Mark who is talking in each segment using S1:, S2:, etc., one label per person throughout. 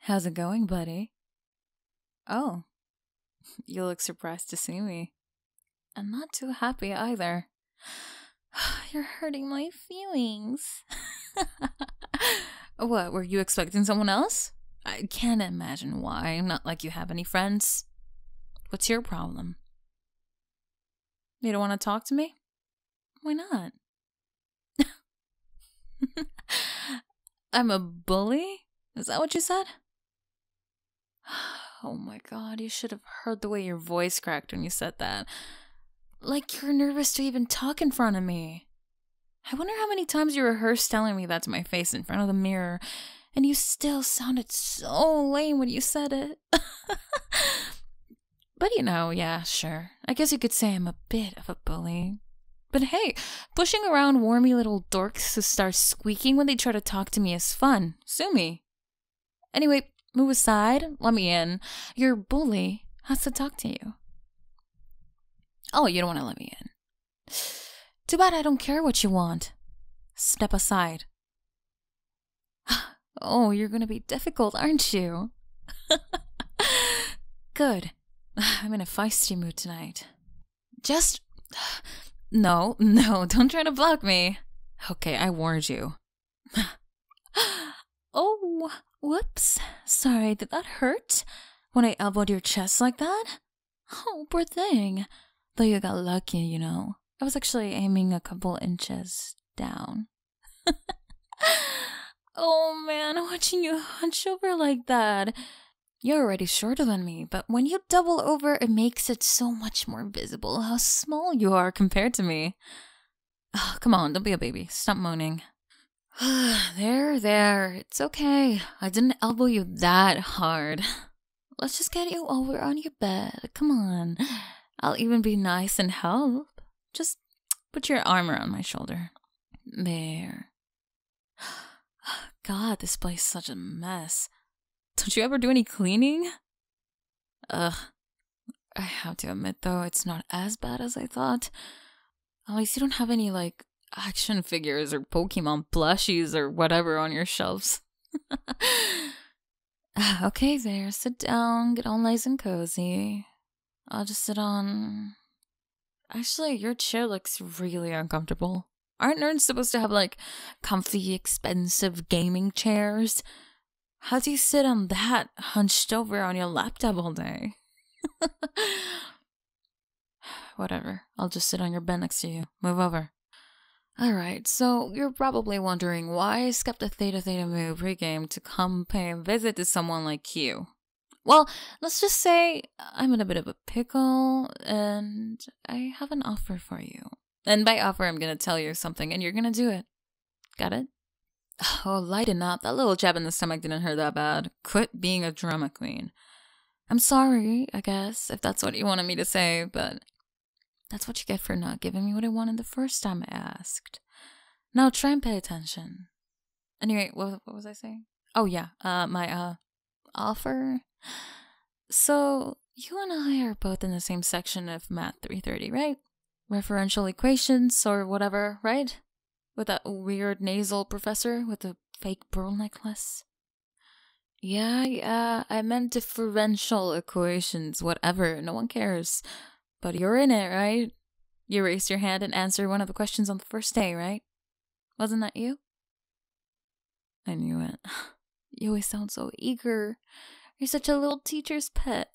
S1: How's it going, buddy? Oh, you look surprised to see me. And not too happy either. You're hurting my feelings. what, were you expecting someone else? I can't imagine why. Not like you have any friends. What's your problem? You don't want to talk to me? Why not? I'm a bully? Is that what you said? Oh my god, you should have heard the way your voice cracked when you said that. Like you're nervous to even talk in front of me. I wonder how many times you rehearsed telling me that to my face in front of the mirror, and you still sounded so lame when you said it. but you know, yeah, sure. I guess you could say I'm a bit of a bully. But hey, pushing around wormy little dorks who start squeaking when they try to talk to me is fun. Sue me. Anyway, move aside, let me in. Your bully has to talk to you. Oh, you don't want to let me in. Too bad I don't care what you want. Step aside. Oh, you're going to be difficult, aren't you? Good. I'm in a feisty mood tonight. Just. No, no, don't try to block me. Okay, I warned you. oh, whoops. Sorry, did that hurt? When I elbowed your chest like that? Oh, poor thing. Though you got lucky, you know. I was actually aiming a couple inches down. oh man, watching you hunch over like that. You're already shorter than me, but when you double over, it makes it so much more visible how small you are compared to me. Oh, come on, don't be a baby. Stop moaning. there, there. It's okay. I didn't elbow you that hard. Let's just get you over on your bed. Come on. I'll even be nice and help. Just put your arm around my shoulder. There. God, this place is such a mess. Don't you ever do any cleaning? Ugh. I have to admit, though, it's not as bad as I thought. At least you don't have any, like, action figures or Pokemon plushies or whatever on your shelves. Ah, okay, there. Sit down. Get all nice and cozy. I'll just sit on. Actually, your chair looks really uncomfortable. Aren't nerds supposed to have like comfy, expensive gaming chairs? How do you sit on that hunched over on your laptop all day? Whatever. I'll just sit on your bed next to you. Move over. Alright, so you're probably wondering why I skipped the Theta Theta Mu pregame to come pay a visit to someone like you. Well, let's just say I'm in a bit of a pickle and I have an offer for you. And by offer, I'm going to tell you something and you're going to do it. Got it? Oh, lighten up. That little jab in the stomach didn't hurt that bad. Quit being a drama queen. I'm sorry, I guess, if that's what you wanted me to say, but that's what you get for not giving me what I wanted the first time I asked. Now try and pay attention. Anyway, what, what was I saying? Oh yeah, uh, my uh, offer. So you and I are both in the same section of Math 330, right? Referential equations or whatever, right? With that weird nasal professor with the fake pearl necklace. Yeah, yeah, I meant differential equations, whatever, no one cares. But you're in it, right? You raised your hand and answered one of the questions on the first day, right? Wasn't that you? I knew it. You always sound so eager. You're such a little teacher's pet.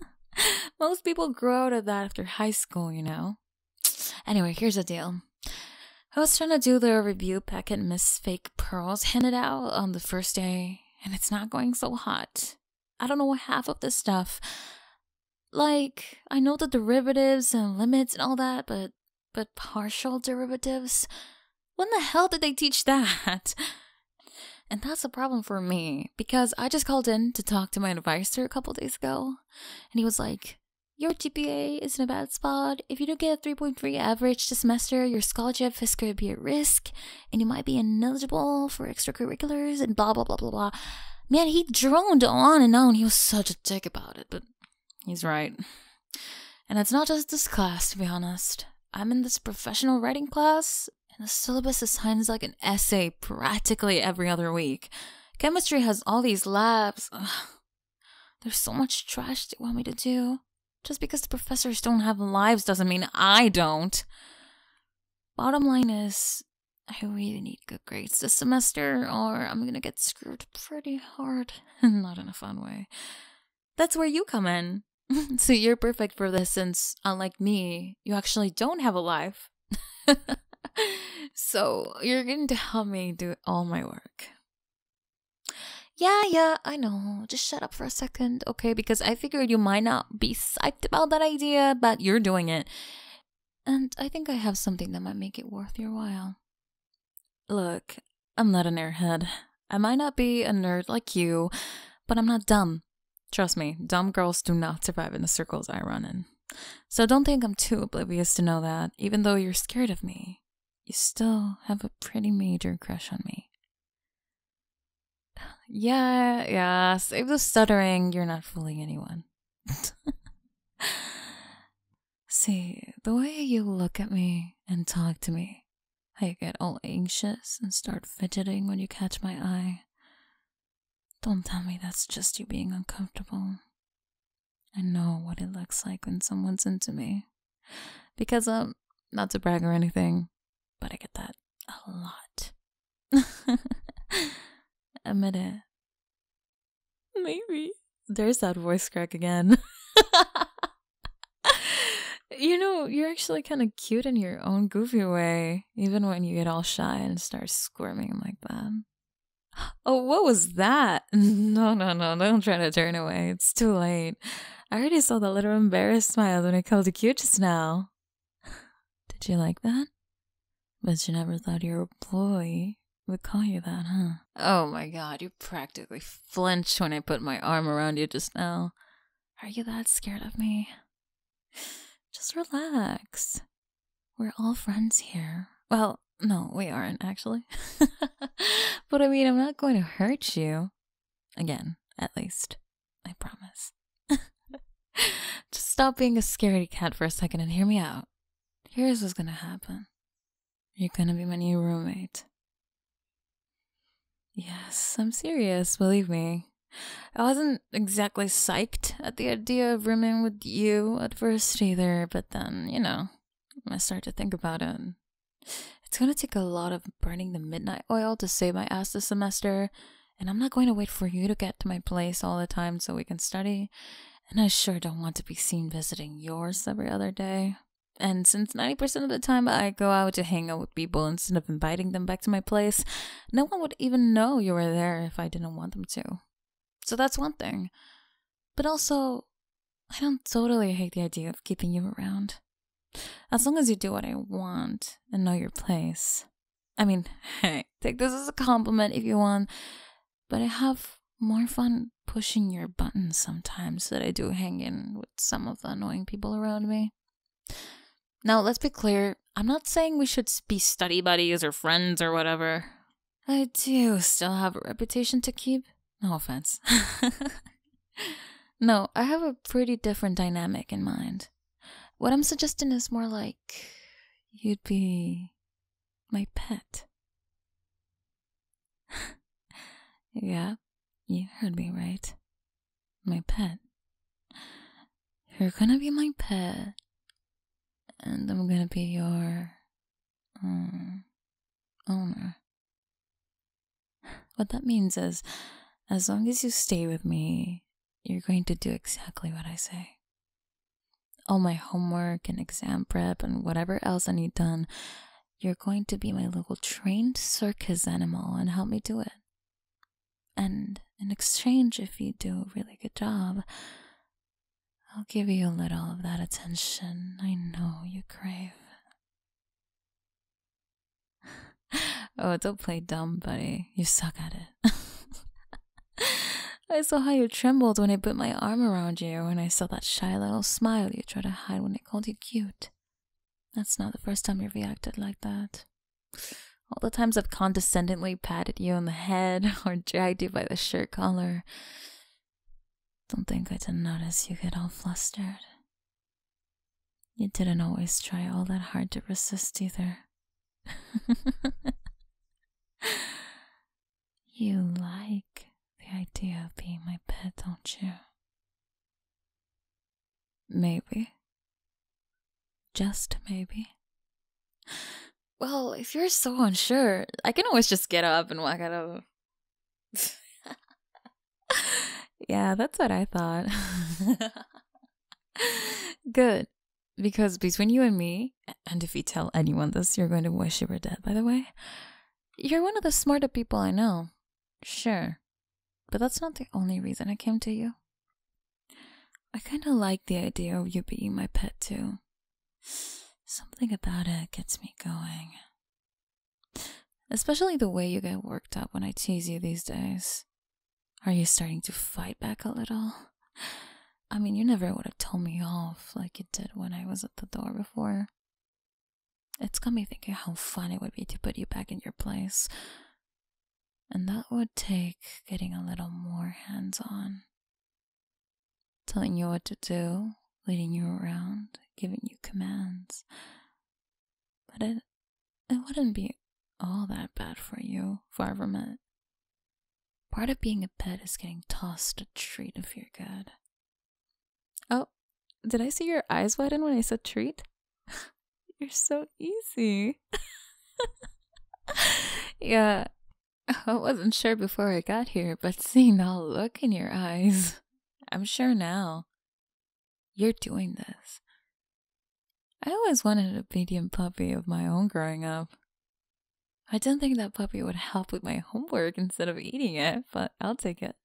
S1: Most people grow out of that after high school, you know. Anyway, here's the deal. I was trying to do the review packet Miss Fake Pearls handed out on the first day, and it's not going so hot. I don't know half of this stuff. Like, I know the derivatives and limits and all that, but but partial derivatives? When the hell did they teach that? And that's a problem for me because I just called in to talk to my advisor a couple days ago and he was like, Your GPA is in a bad spot. If you don't get a 3.3 average this semester, your scholarship is going to be at risk and you might be ineligible for extracurriculars and blah blah blah blah blah. Man, he droned on and on. He was such a dick about it, but he's right. And it's not just this class, to be honest. I'm in this professional writing class, and the syllabus assigns like an essay practically every other week. Chemistry has all these labs. There's so much trash they want me to do. Just because the professors don't have lives doesn't mean I don't. Bottom line is, I really need good grades this semester, or I'm gonna get screwed pretty hard, not in a fun way. That's where you come in. so you're perfect for this since, unlike me, you actually don't have a life. so you're going to help me do all my work. Yeah, yeah, I know. Just shut up for a second, okay? Because I figured you might not be psyched about that idea, but you're doing it. And I think I have something that might make it worth your while. Look, I'm not an airhead. I might not be a nerd like you, but I'm not dumb. Trust me, dumb girls do not survive in the circles I run in. So don't think I'm too oblivious to know that, even though you're scared of me, you still have a pretty major crush on me. Yeah, yeah. Save the stuttering. You're not fooling anyone. See, the way you look at me and talk to me, how you get all anxious and start fidgeting when you catch my eye. Don't tell me that's just you being uncomfortable. I know what it looks like when someone's into me. Because, I'm um, not to brag or anything, but I get that a lot. Admit it. Maybe. There's that voice crack again. you know, you're actually kind of cute in your own goofy way, even when you get all shy and start squirming like that. Oh, what was that? No, no, no, don't try to turn away. It's too late. I already saw the little embarrassed smile when it called you cute just now. Did you like that? But you never thought your boy would call you that, huh? Oh my god, you practically flinched when I put my arm around you just now. Are you that scared of me? Just relax. We're all friends here. Well, no, we aren't actually. but I mean, I'm not going to hurt you. Again, at least. I promise. Just stop being a scaredy cat for a second and hear me out. Here's what's gonna happen you're gonna be my new roommate. Yes, I'm serious, believe me. I wasn't exactly psyched at the idea of rooming with you at first either, but then, you know, I start to think about it. It's gonna take a lot of burning the midnight oil to save my ass this semester, and I'm not going to wait for you to get to my place all the time so we can study, and I sure don't want to be seen visiting yours every other day. And since 90% of the time I go out to hang out with people instead of inviting them back to my place, no one would even know you were there if I didn't want them to. So that's one thing. But also, I don't totally hate the idea of keeping you around. As long as you do what I want and know your place. I mean, take this as a compliment if you want, but I have more fun pushing your buttons sometimes than I do hanging with some of the annoying people around me. Now, let's be clear I'm not saying we should be study buddies or friends or whatever. I do still have a reputation to keep. No offense. no, I have a pretty different dynamic in mind. What I'm suggesting is more like you'd be my pet. yeah, you heard me right. My pet. You're gonna be my pet, and I'm gonna be your mm, owner. What that means is, as long as you stay with me, you're going to do exactly what I say. All my homework and exam prep and whatever else I need done, you're going to be my little trained circus animal and help me do it. And in exchange, if you do a really good job, I'll give you a little of that attention I know you crave. oh, don't play dumb, buddy. You suck at it. I saw how you trembled when I put my arm around you, and I saw that shy little smile you tried to hide when I called you cute. That's not the first time you've reacted like that. All the times I've condescendingly patted you on the head or dragged you by the shirt collar. Don't think I didn't notice you get all flustered. You didn't always try all that hard to resist either. you like the idea of being my pet, don't you? Maybe. Just maybe. Well, if you're so unsure, I can always just get up and walk out of. yeah, that's what I thought. Good. Because between you and me, and if you tell anyone this, you're going to wish you were dead, by the way, you're one of the smartest people I know. Sure. But that's not the only reason I came to you. I kind of like the idea of you being my pet, too. Something about it gets me going. Especially the way you get worked up when I tease you these days. Are you starting to fight back a little? I mean, you never would have told me off like you did when I was at the door before. It's got me thinking how fun it would be to put you back in your place. And that would take getting a little more hands on. Telling you what to do, leading you around, giving you commands. But it it wouldn't be all that bad for you, Varvermint. Part of being a pet is getting tossed a treat if you're good. Oh, did I see your eyes widen when I said treat? you're so easy. yeah, I wasn't sure before I got here, but seeing that look in your eyes, I'm sure now. You're doing this. I always wanted a medium puppy of my own growing up. I didn't think that puppy would help with my homework instead of eating it, but I'll take it.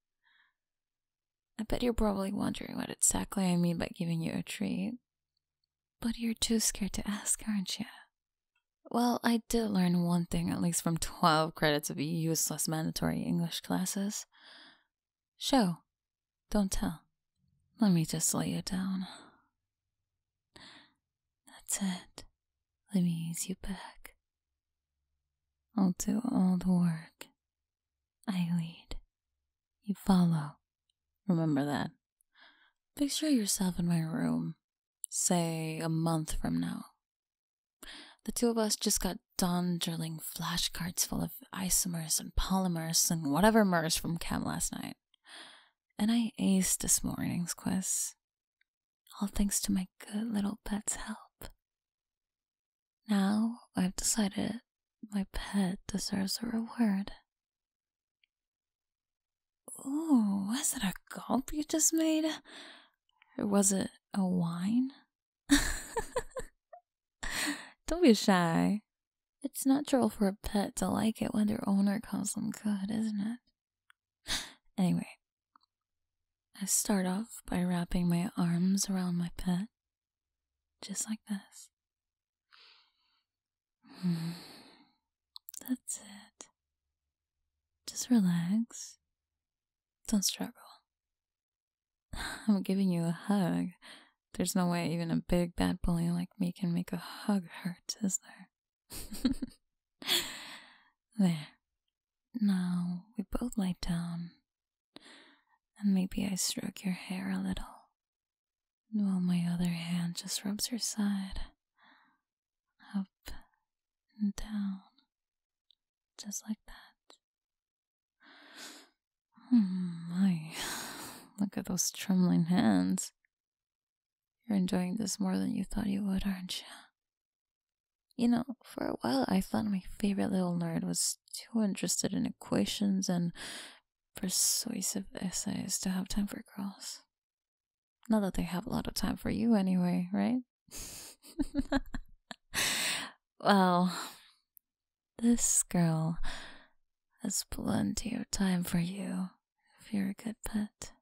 S1: I bet you're probably wondering what exactly I mean by giving you a treat. But you're too scared to ask, aren't you? Well, I did learn one thing at least from 12 credits of useless mandatory English classes Show, don't tell. Let me just lay you down. That's it. Let me ease you back. I'll do all the work. I lead. You follow. Remember that. Picture yourself in my room, say a month from now, the two of us just got done drilling flashcards full of isomers and polymers and whatever mers from chem last night. And I aced this morning's quiz. All thanks to my good little pet's help. Now I've decided my pet deserves a reward. Ooh, was it a gulp you just made? Or was it a whine? Don't be shy. It's natural for a pet to like it when their owner calls them good, isn't it? Anyway, I start off by wrapping my arms around my pet, just like this. That's it. Just relax. Don't struggle. I'm giving you a hug. There's no way even a big bad bully like me can make a hug hurt, is there? there. Now we both lie down. And maybe I stroke your hair a little. While my other hand just rubs your side. Up and down. Just like that. Oh my, look at those trembling hands. You're enjoying this more than you thought you would, aren't you? You know, for a while I thought my favorite little nerd was too interested in equations and persuasive essays to have time for girls. Not that they have a lot of time for you anyway, right? well, this girl has plenty of time for you if you're a good pet.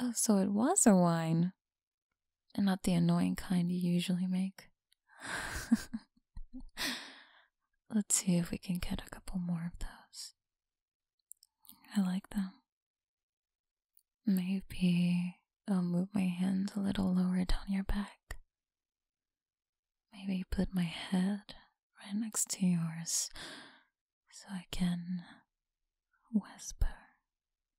S1: Oh, so it was a wine. And not the annoying kind you usually make. Let's see if we can get a couple more of those. I like them. Maybe I'll move my hands a little lower down your back. Maybe put my head right next to yours so I can whisper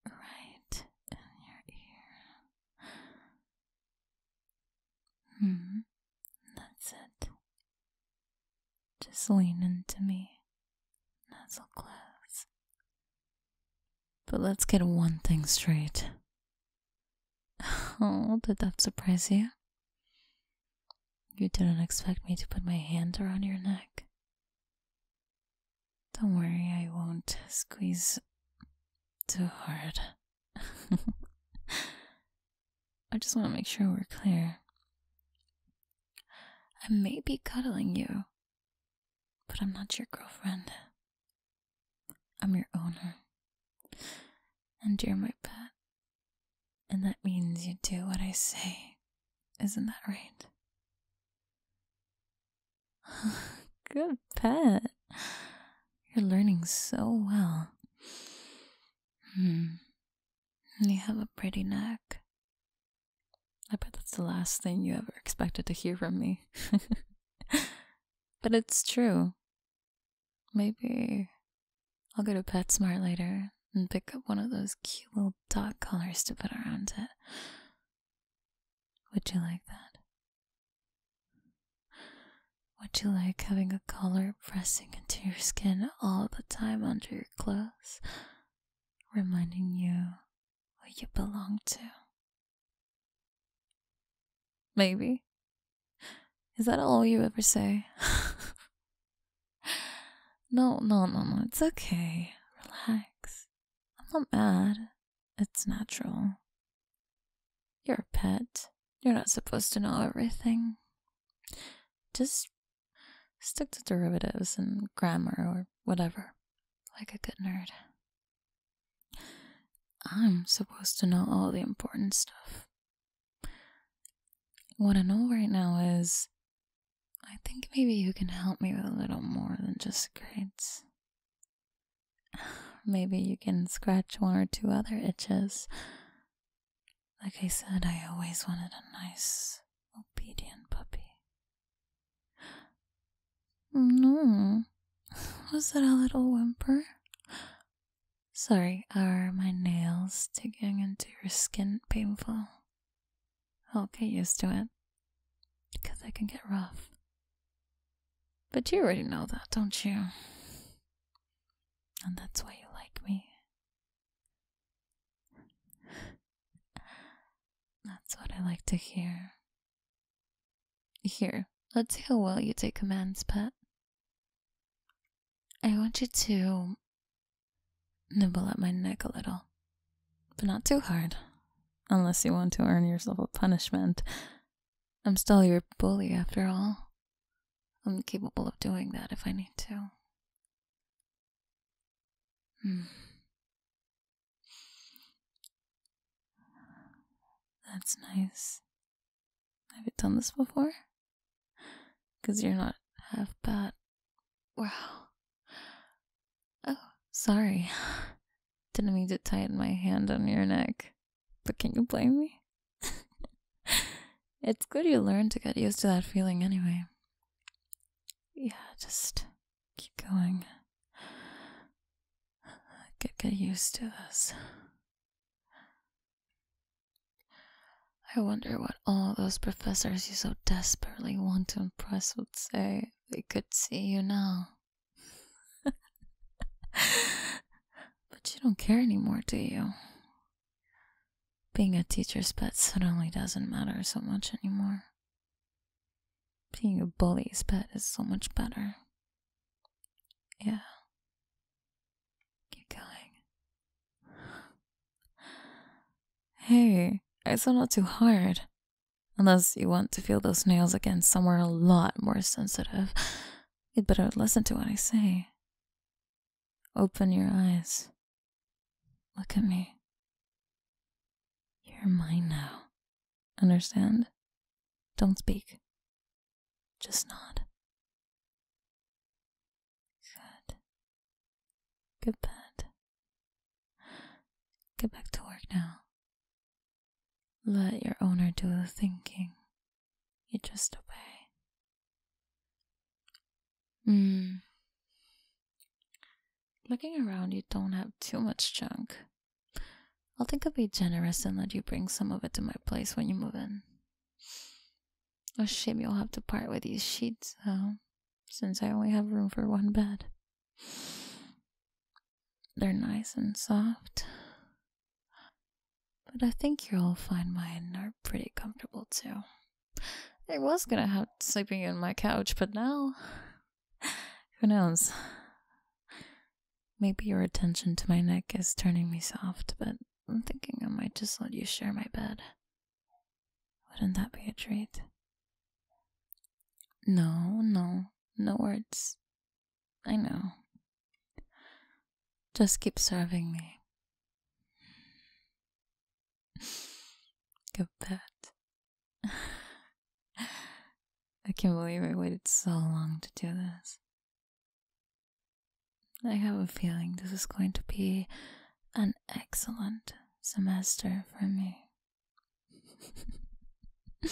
S1: right in your ear. Hmm, that's it. Just lean into me not so close. But let's get one thing straight. Oh, did that surprise you? You didn't expect me to put my hand around your neck. Don't worry, I won't squeeze too hard. I just want to make sure we're clear. I may be cuddling you, but I'm not your girlfriend. I'm your owner. And you're my pet. And that means you do what I say. Isn't that right? Good pet. You're learning so well. Hmm. You have a pretty neck. I bet that's the last thing you ever expected to hear from me. but it's true. Maybe I'll go to PetSmart later and pick up one of those cute little dog collars to put around it. Would you like that? Would you like having a collar pressing into your skin all the time under your clothes? reminding you who you belong to. Maybe. Is that all you ever say? no, no, no, no. It's okay. Relax. I'm not mad. It's natural. You're a pet. You're not supposed to know everything. Just Stick to derivatives and grammar or whatever, like a good nerd. I'm supposed to know all the important stuff. What I know right now is I think maybe you can help me with a little more than just grades. Maybe you can scratch one or two other itches. Like I said, I always wanted a nice, obedient puppy. No, was that a little whimper? Sorry, are my nails digging into your skin painful? I'll get used to it, 'cause because I can get rough. But you already know that, don't you? And that's why you like me, that's what I like to hear. Here, let's see how well you take commands, pet. I want you to nibble at my neck a little, but not too hard, unless you want to earn yourself a punishment. I'm still your bully, after all. I'm capable of doing that if I need to. Hmm. That's nice. Have you done this before? Because you're not half bad. Wow. Oh, sorry. Didn't mean to tighten my hand on your neck. But can you blame me? it's good you learned to get used to that feeling anyway yeah, just keep going. get used to this. I wonder what all those professors you so desperately want to impress would say if they could see you now. but you don't care anymore, do you? Being a teacher's pet suddenly doesn't matter so much anymore. Being a bully's pet is so much better. Yeah. Keep going. Hey, it's not too hard. Unless you want to feel those nails again somewhere a lot more sensitive. You'd better listen to what I say. Open your eyes. Look at me. You're mine now. Understand? Don't speak. Just nod. Good. Good pet. Get back to work now. Let your owner do the thinking. You just obey. Mm. Looking around, you don't have too much junk. I'll think of being generous and let you bring some of it to my place when you move in. A shame you'll have to part with these sheets, since I only have room for one bed. They're nice and soft. But I think you'll find mine are pretty comfortable too. I was gonna have sleeping in my couch, but now. Who knows? Maybe your attention to my neck is turning me soft, but I'm thinking I might just let you share my bed. Wouldn't that be a treat? No, no, no words. I know. Just keep serving me. Go bet. I can't believe I waited so long to do this. I have a feeling this is going to be an excellent semester for me.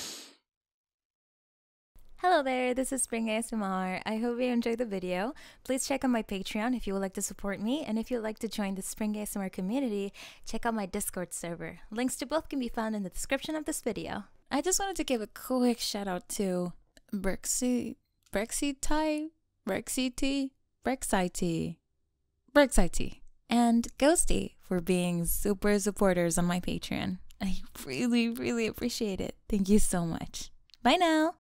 S1: Hello there, this is Spring ASMR. I hope you enjoyed the video. Please check out my Patreon if you would like to support me, and if you'd like to join the Spring ASMR community, check out my Discord server. Links to both can be found in the description of this video. I just wanted to give a quick shout out to Brexy, Brexy Ty, Brexy T, Brexy T, Brexy T, and Ghosty for being super supporters on my Patreon. I really, really appreciate it. Thank you so much. Bye now.